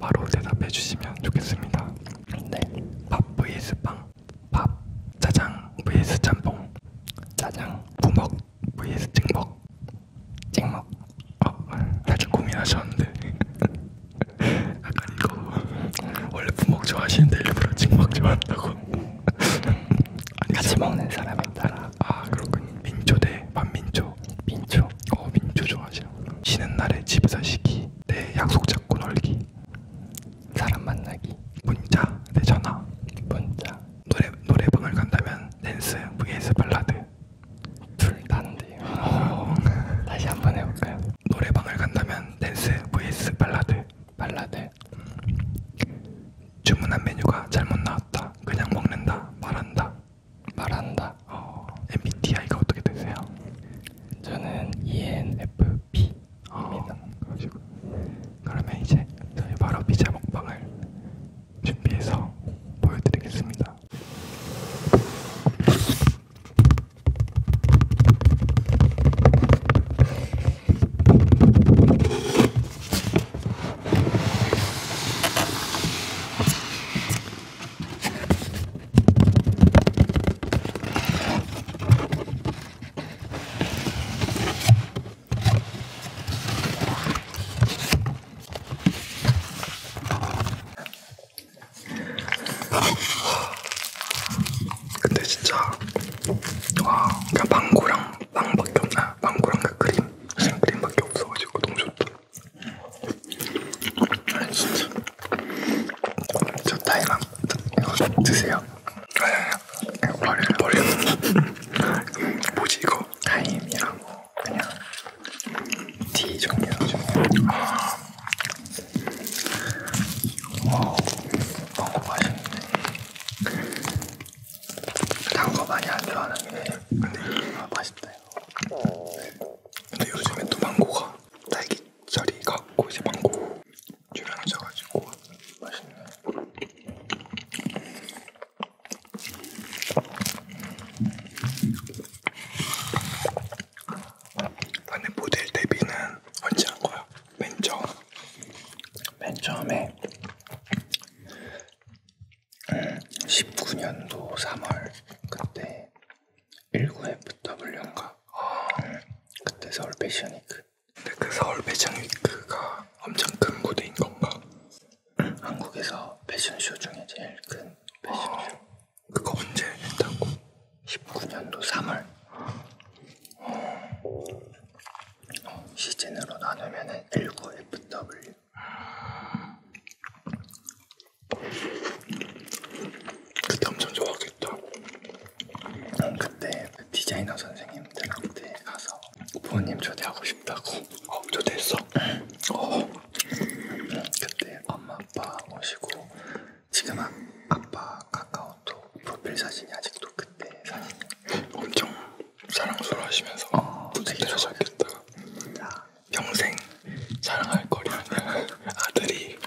바로 대답해 주시면 좋겠습니다. 네. 밥 vs 빵, 밥 짜장 vs 짬뽕, 짜장 부먹 vs 찍먹, 찍먹. 어, 살짝 고민하셨는데 약간 이거 원래 부먹 좋아하시는데 일부러 찍먹 좋아한다고. 같이 먹는 사람에 따라. 아 그렇군요. 민초 대 반민초. 민초 민초 어 민초 좋아하시는구나 쉬는 날에 집에서 쉬기 내 약속 잡고 놀기 사람 만나기 문자 내 전화 문자 노래, 노래방을 간다면 댄스 vs 발라드 둘다안 돼요 어. 다시 한번 해볼까요? 노래방을 간다면 댄스 vs 발라드 발라드 음. 주문한 메뉴가 잘못 나왔다 그냥 먹는다 말한다 말한다. 어, MBTI가 어떻게 되세요? 저는 ENFP입니다. 어, 아, 그러시고. 그러면 이제 저희 바로 피자 먹방을 준비해서 보여드리겠습니다. 근데 진짜 와 그냥 망고랑 빵밖에 없나 망고랑 아, 그 크림 생크림밖에 없어가지고 너무 좋다. 아 진짜 저 타이랑 이거 드세요 아니 버려요 버려요 뭐지 이거? 타임이랑 그냥 티 종류죠 아. 와우 너무 맛있는데 단거 많이 안 좋아하는데 근데 아, 맛있다 이거. 근데 요즘에 또 망고가 딸기자리 갖고 이제 망고 출연하셔가지고 맛있네. 아, 근데 모델 데뷔는 언제 한 거야? 맨 처음. 맨 처음에 19년도 3월 그때 19FW인가 아. 그때 서울 패션위크 근데 그 서울 패션위크가 엄청 큰 무대인 건가? 응. 음, 한국에서 패션쇼 중에 제일 큰 패션쇼 아. 그거 언제 했다고? 19년도 3월 어. 시즌으로 나누면 19FW 그때 엄청 좋았겠다 난 그때 그 디자이너 선생님들한테 가서 부모님 초대하고 싶다고 어, 초대했어? 응. 어. 응, 그때 엄마 아빠 오시고 지금 아, 아빠 카카오톡 프로필 사진이 아직도 그때 사진 엄청 사랑스러워하시면서 어, 뿌듯해하셨겠다. 아. 평생 자랑할 거리는 아들이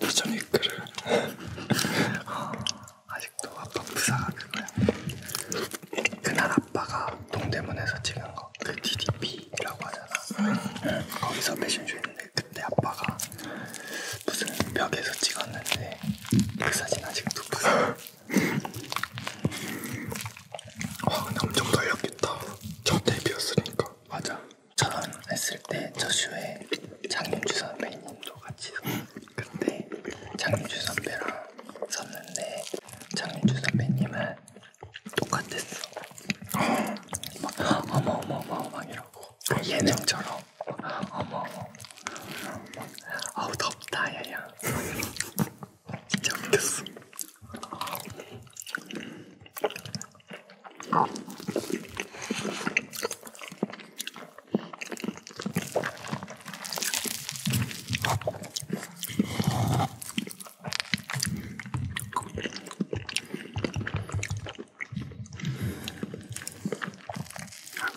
리처니크를 어, 아직도 아빠 부사가 그거야. 그날 아빠가 동대문에서 찍은 거그 DDP라고 하잖아. 음. 거기서 패션쇼 했는데 그때 아빠가 무슨 벽에서 찍었는데 그 사진 아직도 부사. 와 근데 엄청 떨렸겠다. 첫 데뷔였으니까. 맞아. 저런 했을 때저 쇼에 장윤주 선배님도 같이 그때 장윤주 선배랑 섰는데 장윤주 선배님은 똑같았어. 아. 막 어머 어머 어머 막 이러고 그렇죠. 예능처럼 어머 어머 아우 덥다 야야 진짜 웃겼어 아,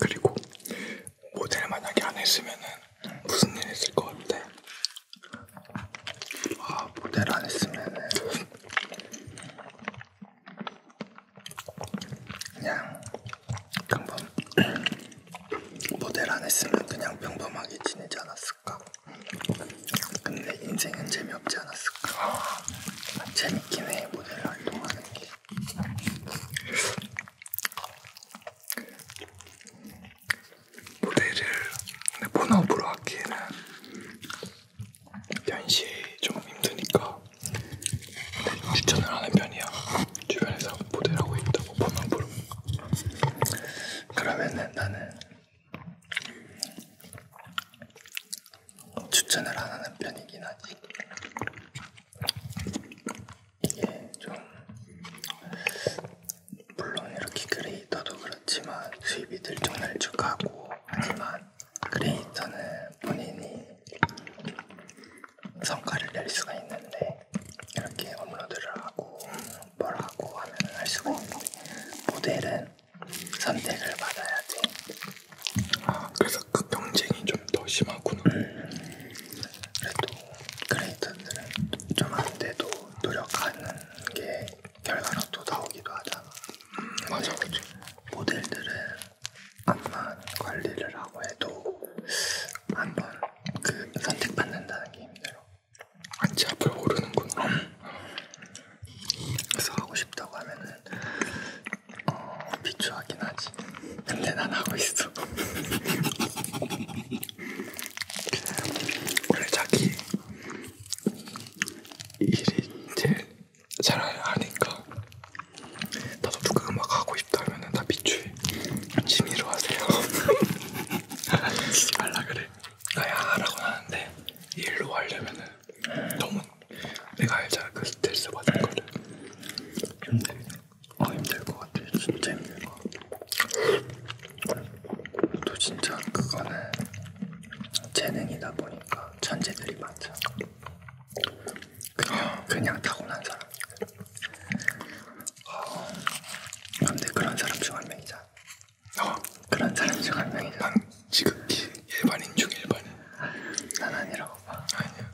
그리고 모델 만약에 안 했으면은 무슨 일 있을 것 같아? 아 모델 안 했으면은 그냥 평범 모델 안 했으면 그냥 평범하게 지내지 않았을까? 근데 인생은 재미없지 않았을까? 재밌긴 해 모델 활동하는 게. 무대를 본업으로 하기에는 연시 좀 힘드니까 추천을 하는 편이야. 주변에서 무대를 하고 있다고 본업으로. 그러면은 나는 어, 추천을 안 하는 편이긴 하지. 이게 좀 물론 이렇게 크리에이터도 그렇지만 수입이 들쭉날쭉하고 하지만 크리에이터는 본인이 성과를 낼 수가 있는데 이렇게 업로드를 하고 뭘 하고 하면 할 수가 있는데 모델은 선택을 받아야 돼. 아 그래서 그 경쟁이 좀 더 심하구나. 음. 그래도 크리에이터들은 좀 안돼도 노력하는 게 결과로 또 나오기도 하잖아. 음, 맞아 그치. 모델들은 암만 관리를 하고 해도 한번 그 선택받는다는 게 힘들어. 안지 앞을 모르는구나. 그래서 하고 싶다고 하면은 어, 비추하긴 하지. 근데 난 하고 있어. 원래 자기 일이 제일 잘 아니까 나도 누가 음악 하고 싶다면은 다 비추해. 취미로 하세요. 지지 말라 그래. 나야 아, 하라고 하는데 일로 하려면은 너무 내가 알잖아 그 스트레스 받은 거를 힘들, 어 아, 힘들 것 같아 진짜 힘들 것 같아 또 진짜 그거는 재능이다 보니까 천재들이 많잖아 그냥, 그냥 타고난 사람 아, 근데 그런 사람 중 한 명이잖아 어. 그런 사람 중한 명이죠. 난 지극히 일반인 중 일반인. 난 아니라고 봐. 아니야.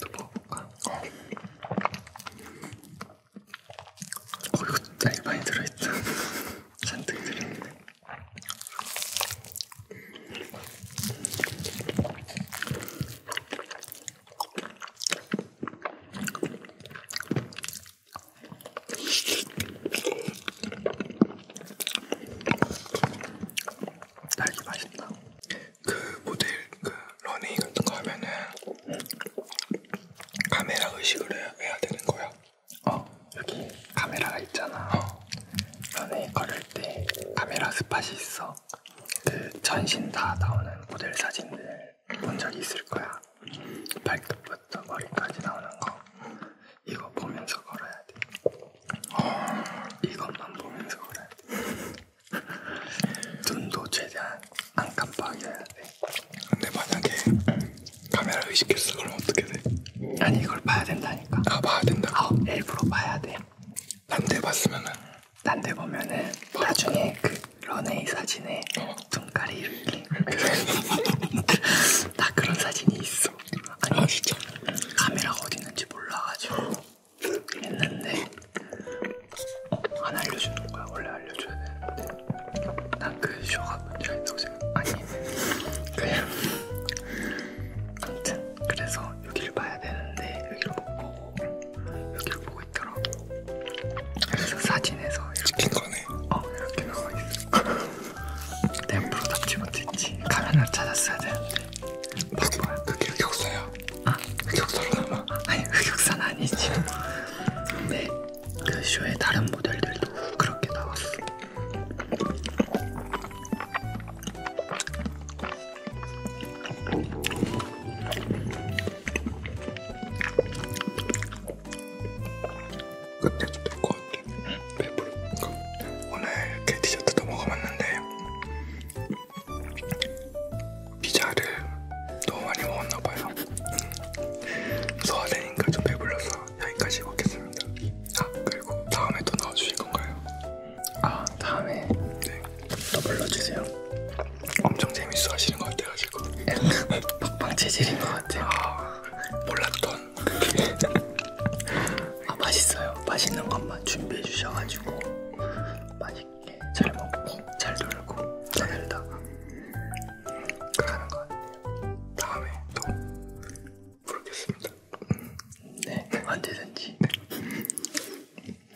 또 먹어볼까? 뭐? 어. 어 이거 날반이 들어있다. 잔뜩 들어있네. 딸기 맛있다. 그 모델 그 러닝 같은 거 하면은 카메라 의식을 해야, 해야 되는 거야. 어 여기 카메라가 있잖아. 어. 러닝 걸을 때 카메라 스팟이 있어. 그 전신 다 나오는 모델 사진들 본 적이 있을 거야. 발톱부터 머리까지 나오는 거. 이거 보면서 걸어야 돼. 어, 이것만 보면서 걸어야 돼. 눈도 최대한 안 깜빡여야 돼. 근데 만약에 카메라 의식했어 그럼 어떻게 돼? 아니 이걸 봐야 된다니까. 아 봐야 된다고? 아, 일부러 봐야 돼. 난데 봤으면은? 난데 보면은 나중에 그 연예인 사진에 눈가리를 이렇게 그 다 그런 사진이 있어. 아니 아, 진짜 카메라가 어디 있는지 몰라가지고 했는데 어, 안 알려주는 거야. 원래 알려줘야 되는데 난 그 쇼가 문제가 있다고 생각. 아니 그냥 아무튼 그래서 여기를 봐야 되는데 여기를 못 보고 여기를 보고 나오고 있더라고. 사진에서 찍힌 거네. 어 이렇게 나와 있어. 내가 프로답지 못했지. 카메라 찾았어야 되는데. 바보야. 그게 흑역사야. 아 흑역사로 그 남아. 아니 흑역사 그 는 아니지. 근데 그 쇼의 다른 모델들도 그렇게 나왔어. 끝에 좋을 것 같아. 배부른 거. 오늘 이렇게 디저트도 먹어봤는데 피자를 너무 많이 먹었나봐요. 소화되니까 좀 배불러서 여기까지 먹겠습니다. 아 그리고 다음에 또 나와주실 건가요? 아 다음에 네. 또 불러주세요. 엄청 재밌어 하시는 것 같아가지고 먹방 재질인 것 같아요. 아, 몰랐던. 아 맛있어요. 맛있는 것만 준비해 주셔가지고 맛있게 잘 먹고 잘 놀고 잘다 가는 것 같아요. 다음에 또 부르겠습니다. 네 언제든지. 네.